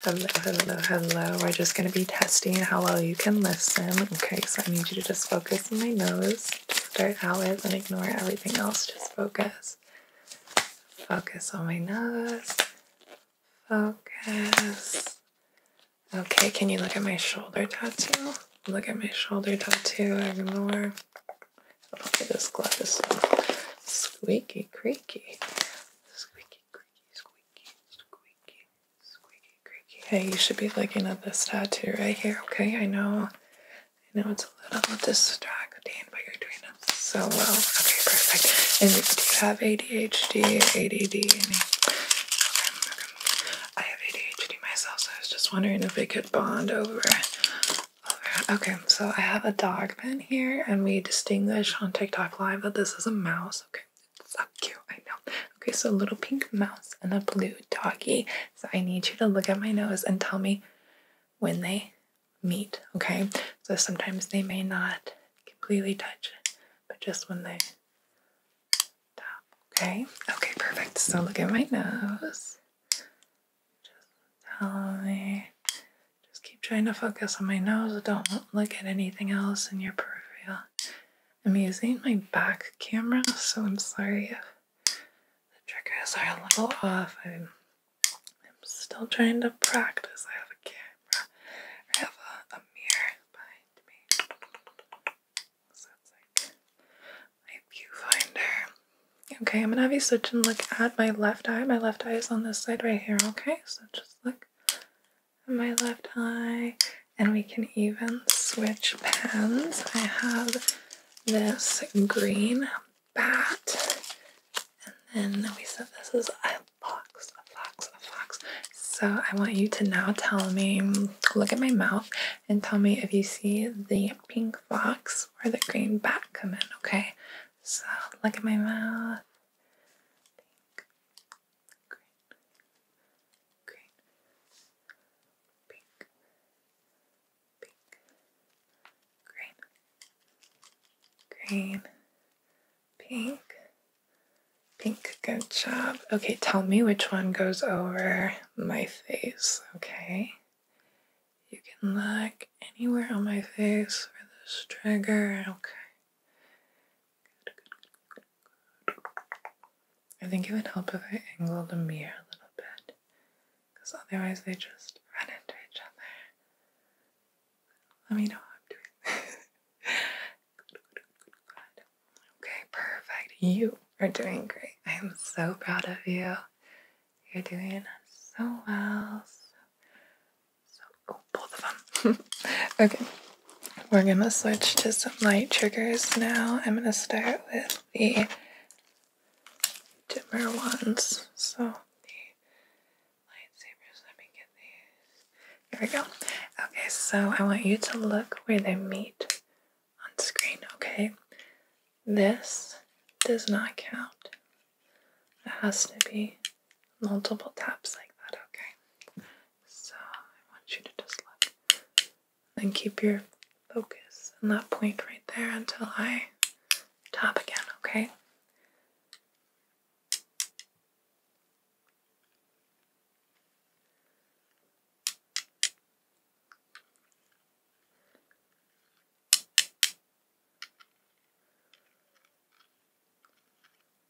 Hello, hello, hello. We're just going to be testing how well you can listen. Okay, so I need you to just focus on my nose start out with and ignore everything else. Just focus. Focus on my nose. Focus. Okay, can you look at my shoulder tattoo? Look at my shoulder tattoo. Ignore. Look this glove is squeaky, creaky. Squeaky, Hey, you should be looking at this tattoo right here, okay? I know, I know it's a little distracting, but you're doing it so well. Okay, perfect. And do you have ADHD, ADD, I have ADHD myself, so I was just wondering if we could bond over. Okay, so I have a dog black here, and we distinguish on TikTok Live that this is a mouse. Okay, so cute, I know. Okay, so little pink mouse and a blue doggy. So I need you to look at my nose and tell me when they meet, okay? So sometimes they may not completely touch, but just when they okay? Okay, perfect. So look at my nose. Just tell me just keep trying to focus on my nose. Don't look at anything else in your peripheral. I'm using my back camera, so I'm sorry if the triggers are a little off. I'm, still trying to practice. I have a camera. I have a, mirror behind me. So like my viewfinder. Okay, I'm gonna have you switch and look at my left eye. My left eye is on this side right here, okay? So just look my left eye. And we can even switch pens. I have this green bat, and then we said this is a fox, a fox, a fox. So I want you to now tell me, look at my mouth, and tell me if you see the pink fox or the green bat come in, okay? So look at my mouth, pink, green, green, pink, pink, green, green, pink, pink, good job. Okay, tell me which one goes over my face, okay? You can look anywhere on my face for this trigger, okay? I think it would help if I angled the mirror a little bit, because otherwise they just run into each other. Let me know how I'm doing. Okay, perfect. You are doing great. I am so proud of you. You're doing so well. So, oh, both of them. okay, we're gonna switch to some light triggers now. I'm gonna start with the dimmer ones. So, the lightsabers, let me get these. Here we go. Okay, so I want you to look where they meet on screen, okay? This does not count it has to be multiple taps like that, okay? So I want you to just look and keep your focus on that point right there until I tap again, okay?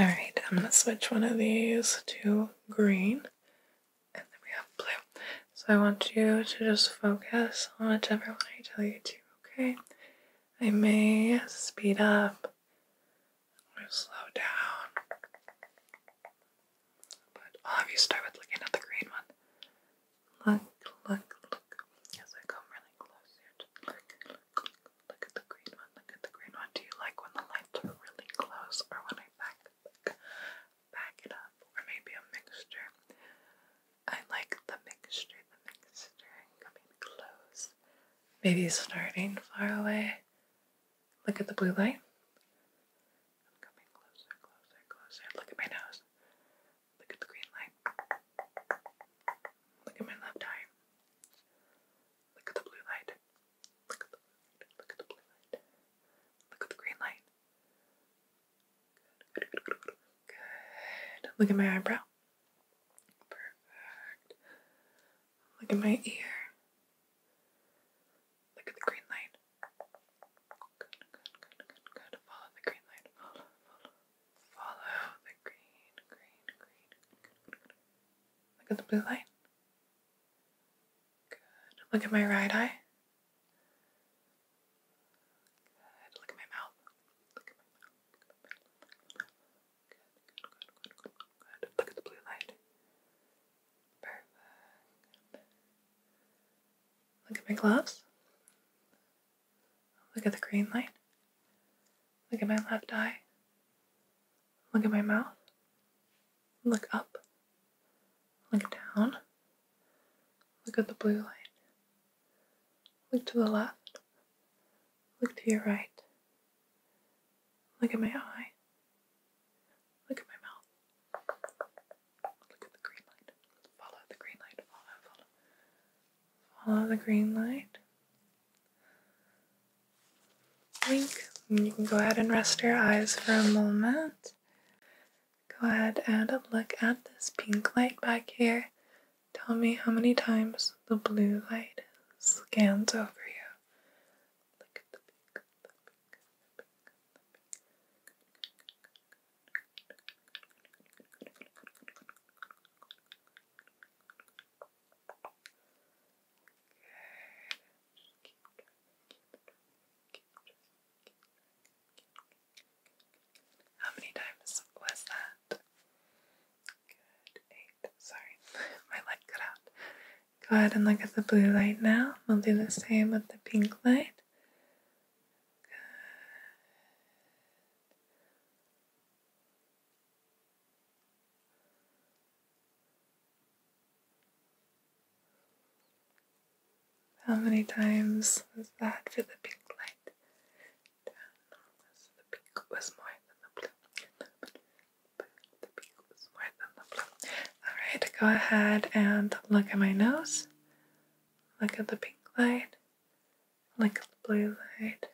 Alright, I'm gonna switch one of these to green and then we have blue. So I want you to just focus on whichever one I tell you to, okay? I may speed up or slow down. But I'll oh, have you start with looking at the green one. Look, look, look. As I come really close here, just look, look, look. Look at the green one. Look at the green one. Do you like when the lights are really close or when I back, back, back it up? Or maybe a mixture. I like the mixture, the mixture coming close. Maybe starting far away. Look at the blue light. I'm coming closer, closer, closer. Look at my nose. Look at the green light. Look at my left eye. Look at the blue light. Look at the blue light. Look at the green light. Good. Look at my eyebrow. Perfect. Look at my ear. Look at the green light. good, good, good, good. Follow the green light. Follow, follow, Follow the green, green, green. Look at the blue light. Good. Look at my right eye. Good. Look at my mouth. Look at my mouth. Good, good, good, good, good. Look at the blue light. Perfect. Look at my gloves. Look at the green light. Look at my left eye. Look at my mouth. Look up. Look down. Look at the blue light. Look to the left. Look to your right. Look at my eye. Look at my mouth. Look at the green light. Follow the green light. Follow, follow. Follow the green light. Wink. And you can go ahead and rest your eyes for a moment. Go ahead and look at this pink light back here. Tell me how many times the blue light scans over you. How many times was that? Good, eight. Sorry, my light cut out. Go ahead and look at the blue light now. We'll do the same with the pink light. How many times was that for the pink light? the pink was more than the blue. The pink was more than the blue. Alright, go ahead and look at my nose. Look at the pink light. Look at the blue light.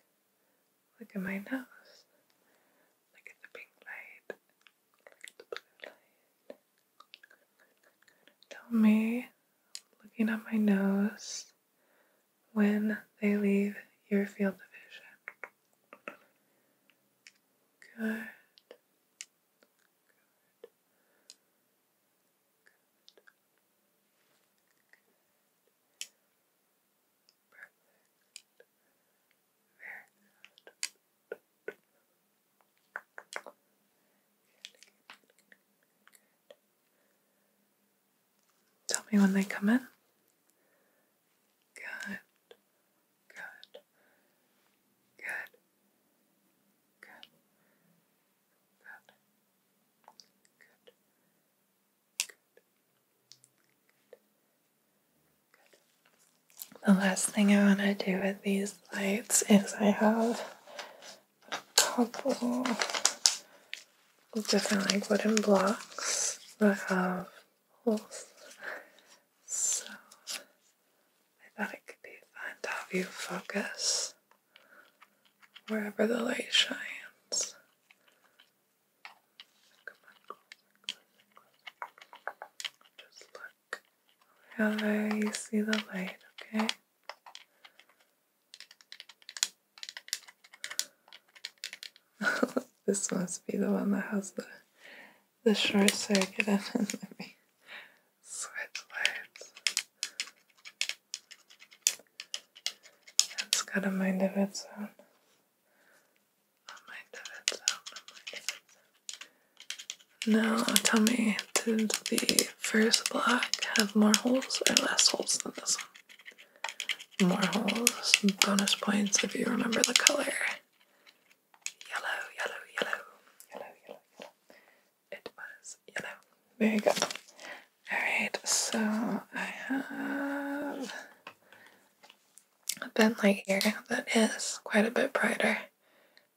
Look at my nose. Look at the pink light. Look at the blue light. Tell me, looking at my nose, when they leave your field of vision. Good. Tell me when they come in. Good. Good. Good. Good. The last thing I want to do with these lights is I have a couple of different like wooden blocks that have holes. So I thought it could be fun to have you focus wherever the light shines. Just look there you see the light, okay? this must be the one that has the the short circuit and then let me switch lights. That's got a mind of its own. A mind of its Now tell me, did the first block have more holes or less holes than this one? More holes. Bonus points if you remember the color. yellow, yellow, yellow, yellow, yellow it was yellow. Very good. Alright, so I have a bent light here that is quite a bit brighter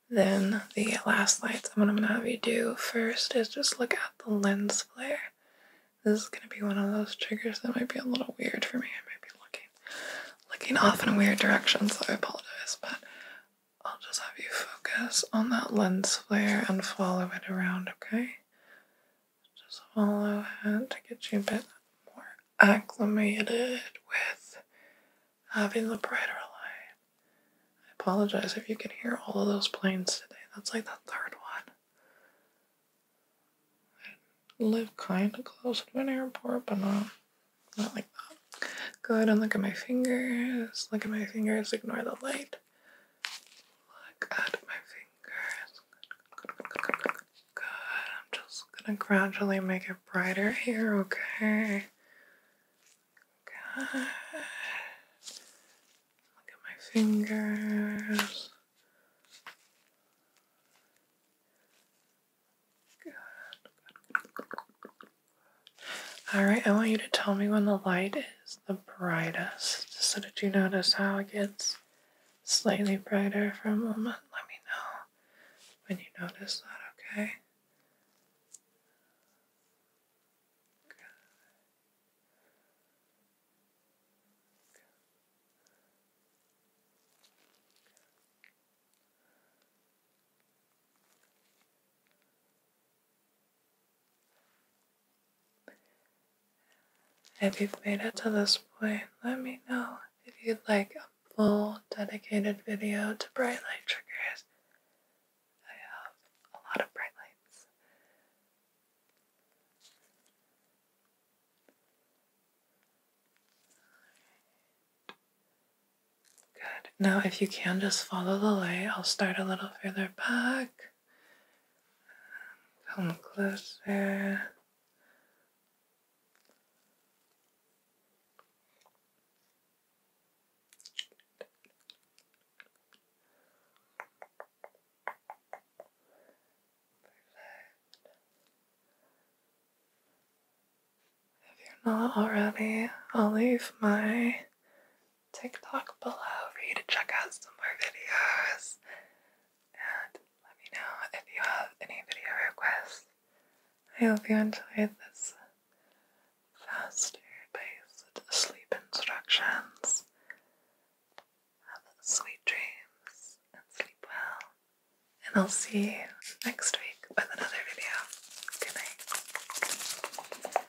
than the last lights. And what I'm going to have you do first is just look at the lens flare. This is going to be one of those triggers that might be a little weird for me. I might be looking, looking off in a weird direction, so I apologize. But I'll just have you focus on that lens layer and follow it around, okay? Just follow it to get you a bit more acclimated with having the brighter light. I apologize if you can hear all of those planes today. That's like the third one. I live kind of close to an airport, but not, not like that. Good, and look at my fingers. Look at my fingers, ignore the light. Look at my fingers. Good, I'm just gonna gradually make it brighter here, okay? Good. Look at my fingers. Good. All right, I want you to tell me when the light is the brightest. So did you notice how it gets slightly brighter for a moment? Let me know when you notice that, okay? If you've made it to this point, let me know if you'd like a full dedicated video to bright light triggers. I have a lot of bright lights. Good. Now, if you can just follow the light, I'll start a little further back. Come closer. If you're not already, I'll leave my TikTok below for you to check out some more videos. And let me know if you have any video requests. I hope you enjoyed this faster paced sleep instructions. Have sweet dreams and sleep well. And I'll see you next week with another video. Good night.